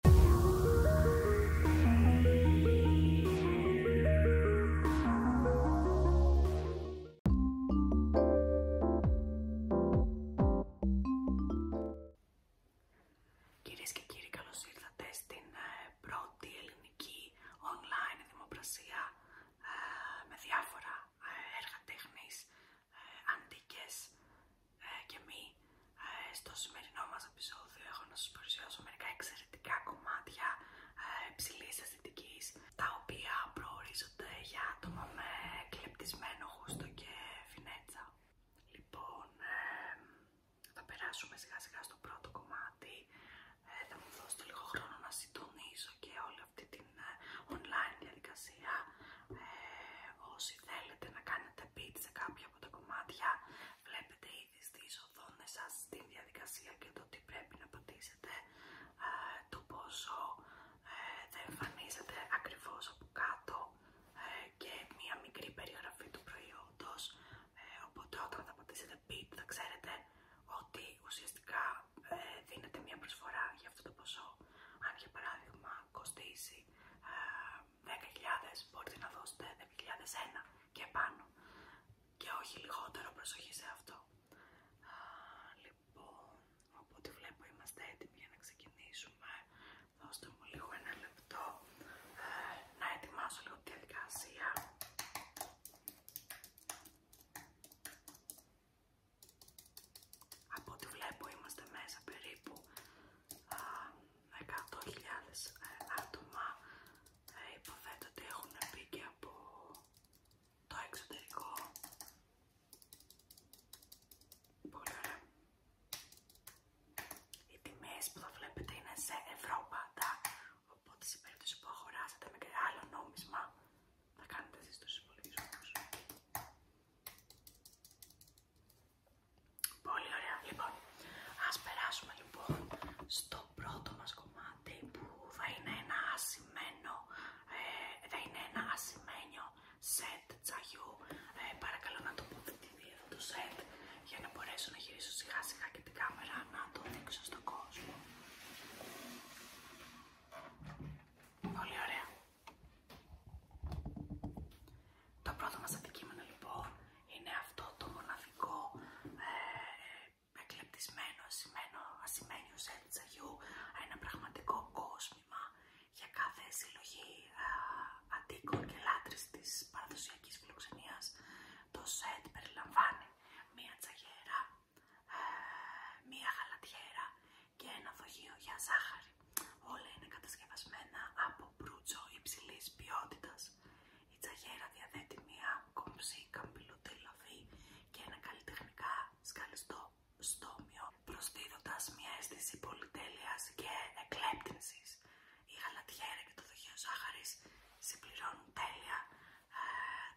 Κυρίες και κύριοι, καλώς ήρθατε στην ε, πρώτη ελληνική online δημοπρασία ε, με διάφορα ε, έργα τέχνης, αντίκες, ε, και μη. Ε, στο σημερινό μας επεισόδιο έχω να σας παρουσιάσω μερικά εξαιρετικά κομμάτια ε, υψηλή ψηλής τα οποία προορίζονται για άτομα με κλεπτισμένο χούστο και φινέτσα. Λοιπόν, θα περάσουμε σιγά σιγά στο πρώτο κομμάτι. θα μου δώσετε λίγο χρόνο να συντονίσω και όλη αυτή την online διαδικασία. όσοι θέλετε να κάνετε πείτε σε κάποια από τα κομμάτια βλέπετε ήδη στις οθόνες σας την διαδικασία και το τι πρέπει να πατήσετε ε, το πόσο ε, θα εμφανίζεται ακριβώς από κάτω ε, και μια μικρή περιγραφή του προϊόντος οπότε όταν θα πατήσετε beat θα ξέρετε ότι ουσιαστικά δίνετε μια προσφορά για αυτό το ποσό αν για παράδειγμα κοστίσει 10.000 ε, μπορείτε να δώσετε ένα και πάνω και όχι λιγότερο προσοχή σε αυτό. λοιπόν, οπότε βλέπω είμαστε έτοιμοι για να ξεκινήσουμε. Δώστε μου λίγο ένα λεπτό ε, να ετοιμάσω λίγο τη διαδικασία. Από ό,τι βλέπω είμαστε μέσα περίπου 100.000 ε, άτομα. Ε, υποθέτω ότι έχουν μπει και από το εξωτερικό. Πολύ ωραία. Οι τιμές που θα βλέπετε είναι σε ευρώ πάντα, οπότε σε περίπτωση που αγοράσετε με και άλλο νόμισμα θα κάνετε εσείς τους υπολογισμούς. Πολύ ωραία. Λοιπόν, ας περάσουμε λοιπόν στο πρώτο μας κομμάτι που θα είναι ένα ασημένο, ε, είναι να ασημένιο σετ τσαγιού. Ε, παρακαλώ να τοποθετηθεί αυτό το σετ για να μπορέσω να γυρίσω σιγά σιγά και την κάμερα να το δείξω στον κόσμο. Πολύ ωραία. Το πρώτο μας αντικείμενο λοιπόν είναι αυτό το μοναδικό ε, εκλεπτισμένο, ασημένιο σετ της ένα πραγματικό κόσμημα για κάθε συλλογή ε, και λάτρης της παραδοσιακής φιλοξενίας. Το σετ περιλαμβάνει μία τσαγιέρα ε, μία γαλατιέρα και ένα δοχείο για ζάχαρη. Όλα είναι κατασκευασμένα από μπρούτσο υψηλής ποιότητας. Η τσαγέρα διαθέτει μία κομψή καμπυλωτή λαφή και ένα καλλιτεχνικά σκαλιστό στόμιο, προσδίδοντας μία αίσθηση πολυτέλειας και εκλέπτυνσης. Η γαλατιέρα και το δοχείο ζάχαρης συμπληρώνουν τέλεια ε,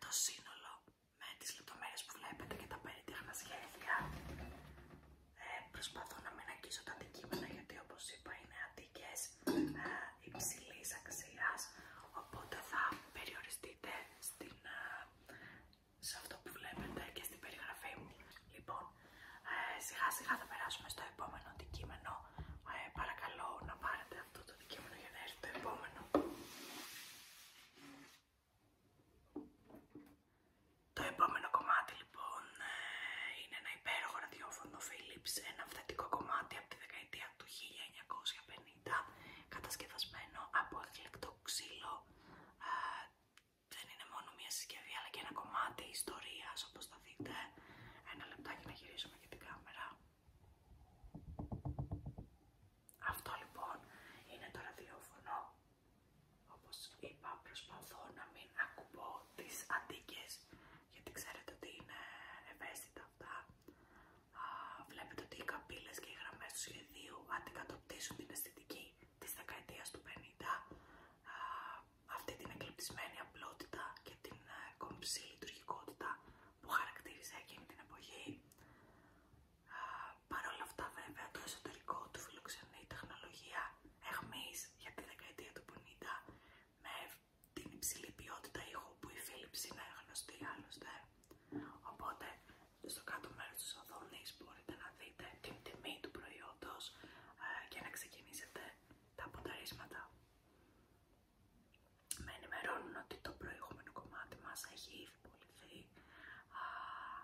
το σύνολο με τις λεπτομέρειες που βλέπετε και τα περίτεχνα σχέδια. Ε, προσπαθώ να μην αγγίσω τα αντικείμενα γιατί όπως είπα είναι αντικές υψηλή ε, υψηλής αξίας οπότε θα περιοριστείτε ε, σε αυτό που βλέπετε και στην περιγραφή μου. Λοιπόν, σιγά σιγά θα περάσουμε στο επόμενο αντικείμενο. παρακαλώ να πάρετε αυτό το αντικείμενο για να έρθει το επόμενο. Το επόμενο κομμάτι λοιπόν ε, είναι ένα υπέροχο ραδιόφωνο Philips, ένα αυθεντικό κομμάτι από τη δεκαετία του 1950, κατασκευασμένο από εκλεκτό ξύλο. Ε, δεν είναι μόνο μια συσκευή αλλά και ένα κομμάτι ιστορίας όπως θα δείτε. Ένα λεπτάκι να γυρίσουμε και την κάμερα. Αυτό λοιπόν είναι το ραδιόφωνο. Όπως είπα προσπαθώ να μην ακουμπώ τις αντίκε γιατί ξέρετε ότι είναι ευαίσθητα αυτά. βλέπετε ότι οι καπίλες και οι γραμμές του σχεδίου αντικατοπτήσουν την αισθητική της δεκαετίας του 50. αυτή την εκλεπτισμένη απλότητα και την ε, κομψή λειτουργικότητα που χαρακτήριζε εκείνη την εποχή. Παρ' όλα αυτά βέβαια το εσωτερικό του φιλοξενεί τεχνολογία εχμής για τη δεκαετία του 50 με την υψηλή ποιότητα ήχου που η Philips είναι γνωστή άλλωστε. Οπότε στο κάτω μέρος της οθόνη μπορείτε να δείτε την τιμή του προϊόντος ε, και να ξεκινήσετε τα αποταρίσματα με ενημερώνουν ότι το προηγούμενο κομμάτι μας έχει ήδη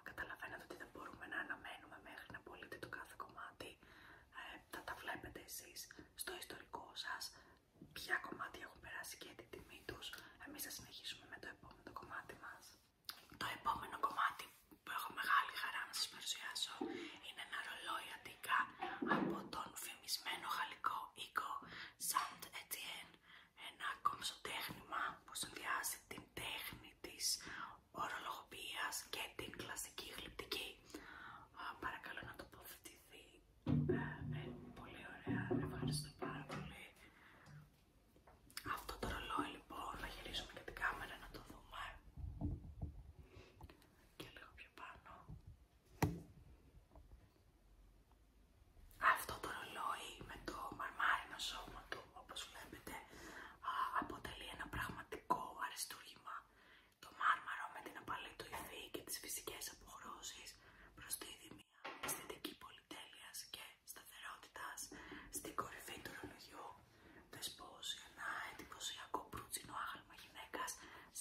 καταλαβαίνετε ότι δεν μπορούμε να αναμένουμε μέχρι να πολίτε το κάθε κομμάτι. Ε, τα βλέπετε εσείς στο ιστορικό σας ποια κομμάτια έχουν περάσει και την τιμή τους. Εμείς θα συνεχίσουμε με το επόμενο κομμάτι μας. Το επόμενο κομμάτι που έχω μεγάλη χαρά να σας παρουσιάσω είναι ένα ρολόι από τον φημισμένο γαλλικό οίκο Sound Etienne, ένα τέχνημα που συνδυάζει την τέχνη της ορολογίας και την κλασική γλυπτική. Παρακαλώ να τοποθετηθεί. Ε, ε, πολύ ωραία, ευχαριστώ πάρα πολύ. Αυτό το ρολόι λοιπόν, να γυρίσουμε και την κάμερα να το δούμε. Και λίγο πιο πάνω. Αυτό το ρολόι με το μαρμάρινο σώμα του, όπως βλέπετε, αποτελεί ένα πραγματικό αριστούργημα. Το μάρμαρο με την απαλή του υφή και τις φυσικές αποχρώσεις προσδίδει μια αισθητική πολυτέλειας και σταθερότητας στην κορυφή του ρολογιού, δεσπόζει ένα εντυπωσιακό προύτσινο άγαλμα με γυναίκα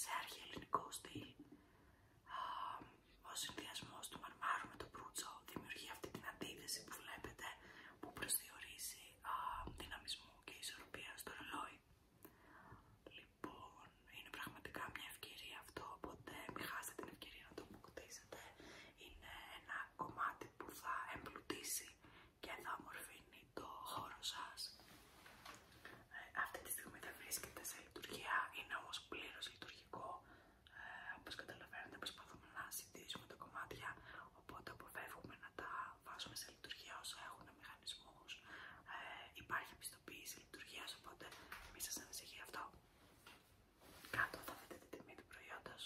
σε αρχαιοελληνικό στυλ. ο συνδυασμό του μαρμάρου με το προύτσο δημιουργεί αυτή την αντίθεση που βλέπετε που προσδιορίζει δυναμισμό και ισορροπία στο ρολόι. Λοιπόν, είναι πραγματικά μια ευκαιρία αυτό, οπότε μην χάσετε την ευκαιρία να το αποκτήσετε. Είναι ένα κομμάτι που θα εμπλουτίσει και θα ομορφύνει το χώρο σας. Ε, αυτή τη στιγμή δεν βρίσκεται σε λειτουργία, είναι όμως πλήρως λειτουργικό. Ε, όπως καταλαβαίνετε, προσπαθούμε να συντηρήσουμε τα κομμάτια, οπότε αποφεύγουμε να τα βάζουμε σε λειτουργία όσο έχουν μηχανισμούς. Ε, υπάρχει πιστοποίηση λειτουργία, οπότε μην σας ανησυχεί αυτό. Κάτω θα δείτε την τιμή του προϊόντος,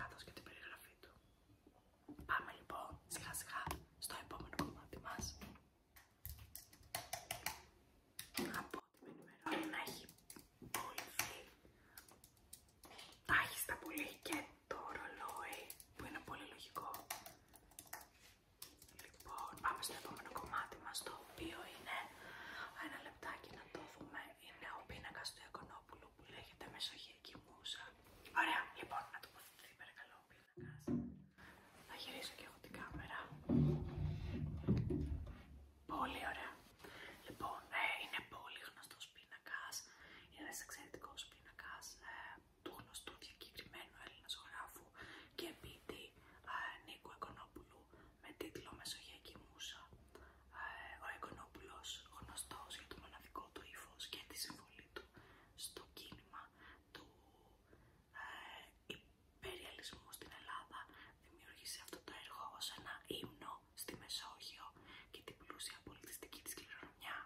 κάτω και την περιγραφή του. Πάμε λοιπόν σιγά σιγά στο επόμενο κομμάτι μας. Από ό,τι με να έχει φίλοι τάχιστα πολύ και το ρολόι που είναι πολύ λογικό. Λοιπόν, πάμε στο επόμενο κομμάτι μας το οποίο είναι ένα λεπτάκι να το δούμε. Είναι ο πίνακας του Αικονόπουλου που λέγεται Μεσογειακή Μούσα. Ωραία, λοιπόν, να τοποθετηθεί παρακαλώ ο πίνακας. Θα γυρίσω και εγώ την κάμερα. Πολύ ωραία. Λοιπόν, ε, είναι πολύ γνωστός πίνακας. Είναι ένας εξαιρετικός πίνακας ε, του γνωστού διακεκριμένου Έλληνα γράφου και ποιητή Νίκο ε, Νίκου με τίτλο Μεσογειακή Μούσα. ο Εκονόπουλος γνωστός για το μοναδικό του ύφο και τη συμβολή του στο κίνημα του ε, υπεριαλισμού στην Ελλάδα δημιούργησε αυτό το έργο ως ένα ύμνο στη Μεσόγειο και την πλούσια πολιτιστική της κληρονομιά.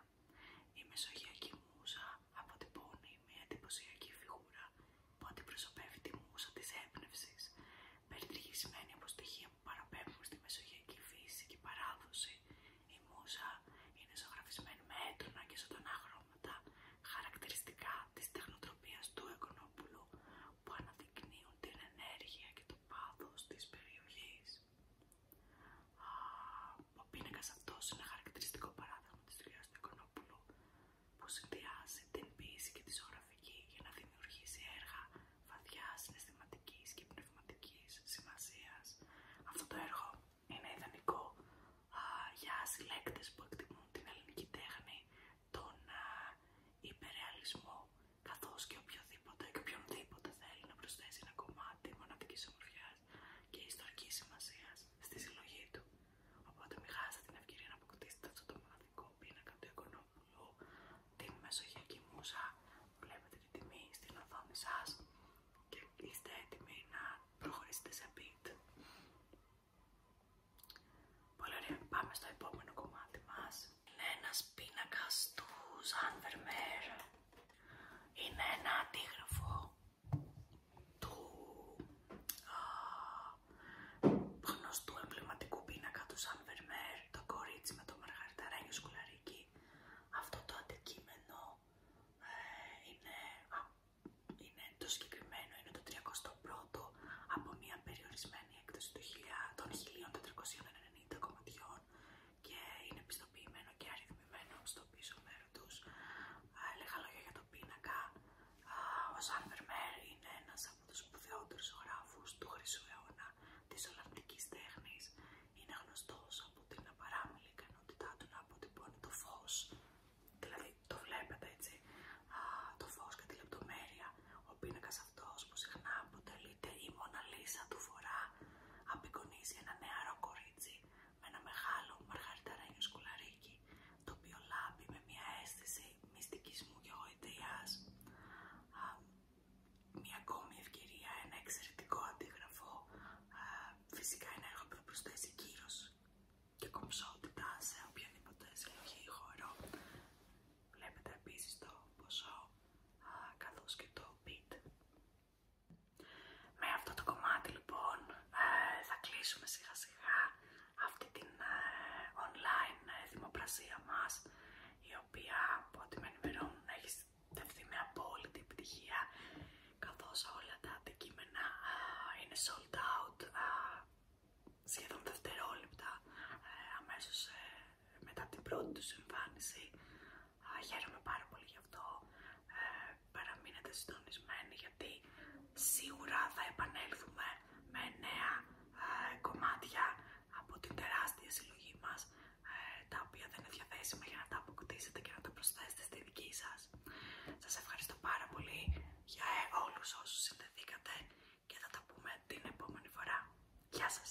Η Μεσογειακή Μούσα αποτυπώνει μια εντυπωσιακή φιγούρα που αντιπροσωπεύει τη μούσα της έμπνευσης, περιτριγισμένη από στοιχεία παραπέμπουμε στη μεσογειακή φύση και παράδοση. Η Μούσα είναι ζωγραφισμένη με έντονα και ζωντανά χρώματα, χαρακτηριστικά της τεχνοτροπίας του Εκονόπουλου, που αναδεικνύουν την ενέργεια και το πάθος της περιοχή. Ο πίνακα αυτός είναι χαρακτηριστικό παράδειγμα της δουλειάς του Εκονόπουλου, που συνδυάζει την ποίηση και τη ζωγραφική για να δημιουργήσει έργα βαθιά συναισθηματικής και πνευματικής σημασίας. Αυτό το έργο είναι ιδανικό για συλλέκτες που εκτιμούν την ελληνική τέχνη, τον υπερεαλισμό, καθώς και οποιοδήποτε και οποιονδήποτε θέλει να προσθέσει ένα κομμάτι μοναδικής ομορφιάς και ιστορικής σημασίας στη συλλογή του. Οπότε μην χάσετε την ευκαιρία να αποκτήσετε αυτό το μοναδικό πίνακα του Οικονόπουλου την μεσογειακή μουσα. Βλέπετε την τιμή στην οθόνη σας και είστε έτοιμοι να προχωρήσετε σε beat. Πολύ ωραία, πάμε στο επόμενο κομμάτι μας. Είναι ένας πίνακας του Ζαν Είναι ένα αντίγραφο του γνωστού εμβληματικού πίνακα του Ζαν το κορίτσι με το μαργαριταράγιο σκουλαρίκι. Αυτό το αντικείμενο ε, είναι, το συγκεκριμένο, είναι το 301 ο από μια περιορισμένη έκδοση 1000, των 1490 κομματιών και είναι πιστοποιημένο και αριθμημένο στο πίσω μέρο του. Λίγα λόγια για το πίνακα. Ο Σαν Βερμέρ είναι ένας από τους σπουδαιότερους του χρυσού αιώνα της Ολλανδικής τέχνης. Είναι γνωστός από την απαράμιλη ικανότητά του να αποτυπώνει το φως, δηλαδή το βλέπετε έτσι, το φως και τη λεπτομέρεια. Ο πίνακας αυτός που συχνά αποτελείται η Μοναλίσα του φορά απεικονίζει ένα νεαρό κορίτσι με ένα μεγάλο μαργαριταρένιο σκουλαρίκι, το οποίο λάμπει με μια αίσθηση μυστικισμού και Α μια ακόμη ευκαιρία, ένα εξαιρετικό αντίγραφο φυσικά ένα έργο που θα προσθέσει κύρος και κομψότητα σε οποιαδήποτε συλλογή ή βλέπετε επίσης το ποσό καθώς και το beat με αυτό το κομμάτι λοιπόν ε, θα κλείσουμε σιγά σιγά αυτή την ε, online ε, δημοπρασία μας η οποία από ό,τι με ενημερώνουν έχει στεφθεί με απόλυτη επιτυχία καθώς όλα τα αντικείμενα ε, είναι sold out σχεδόν δευτερόλεπτα αμέσως μετά την πρώτη τους εμφάνιση χαίρομαι πάρα πολύ γι' αυτό παραμείνετε συντονισμένοι γιατί σίγουρα θα επανέλθουμε με νέα ε, κομμάτια από την τεράστια συλλογή μας ε, τα οποία δεν είναι διαθέσιμα για να τα αποκτήσετε και να τα προσθέσετε στη δική σας. Σας ευχαριστώ πάρα πολύ για ε, όλους όσους συνδεθήκατε και θα τα πούμε την επόμενη φορά. Γεια σας!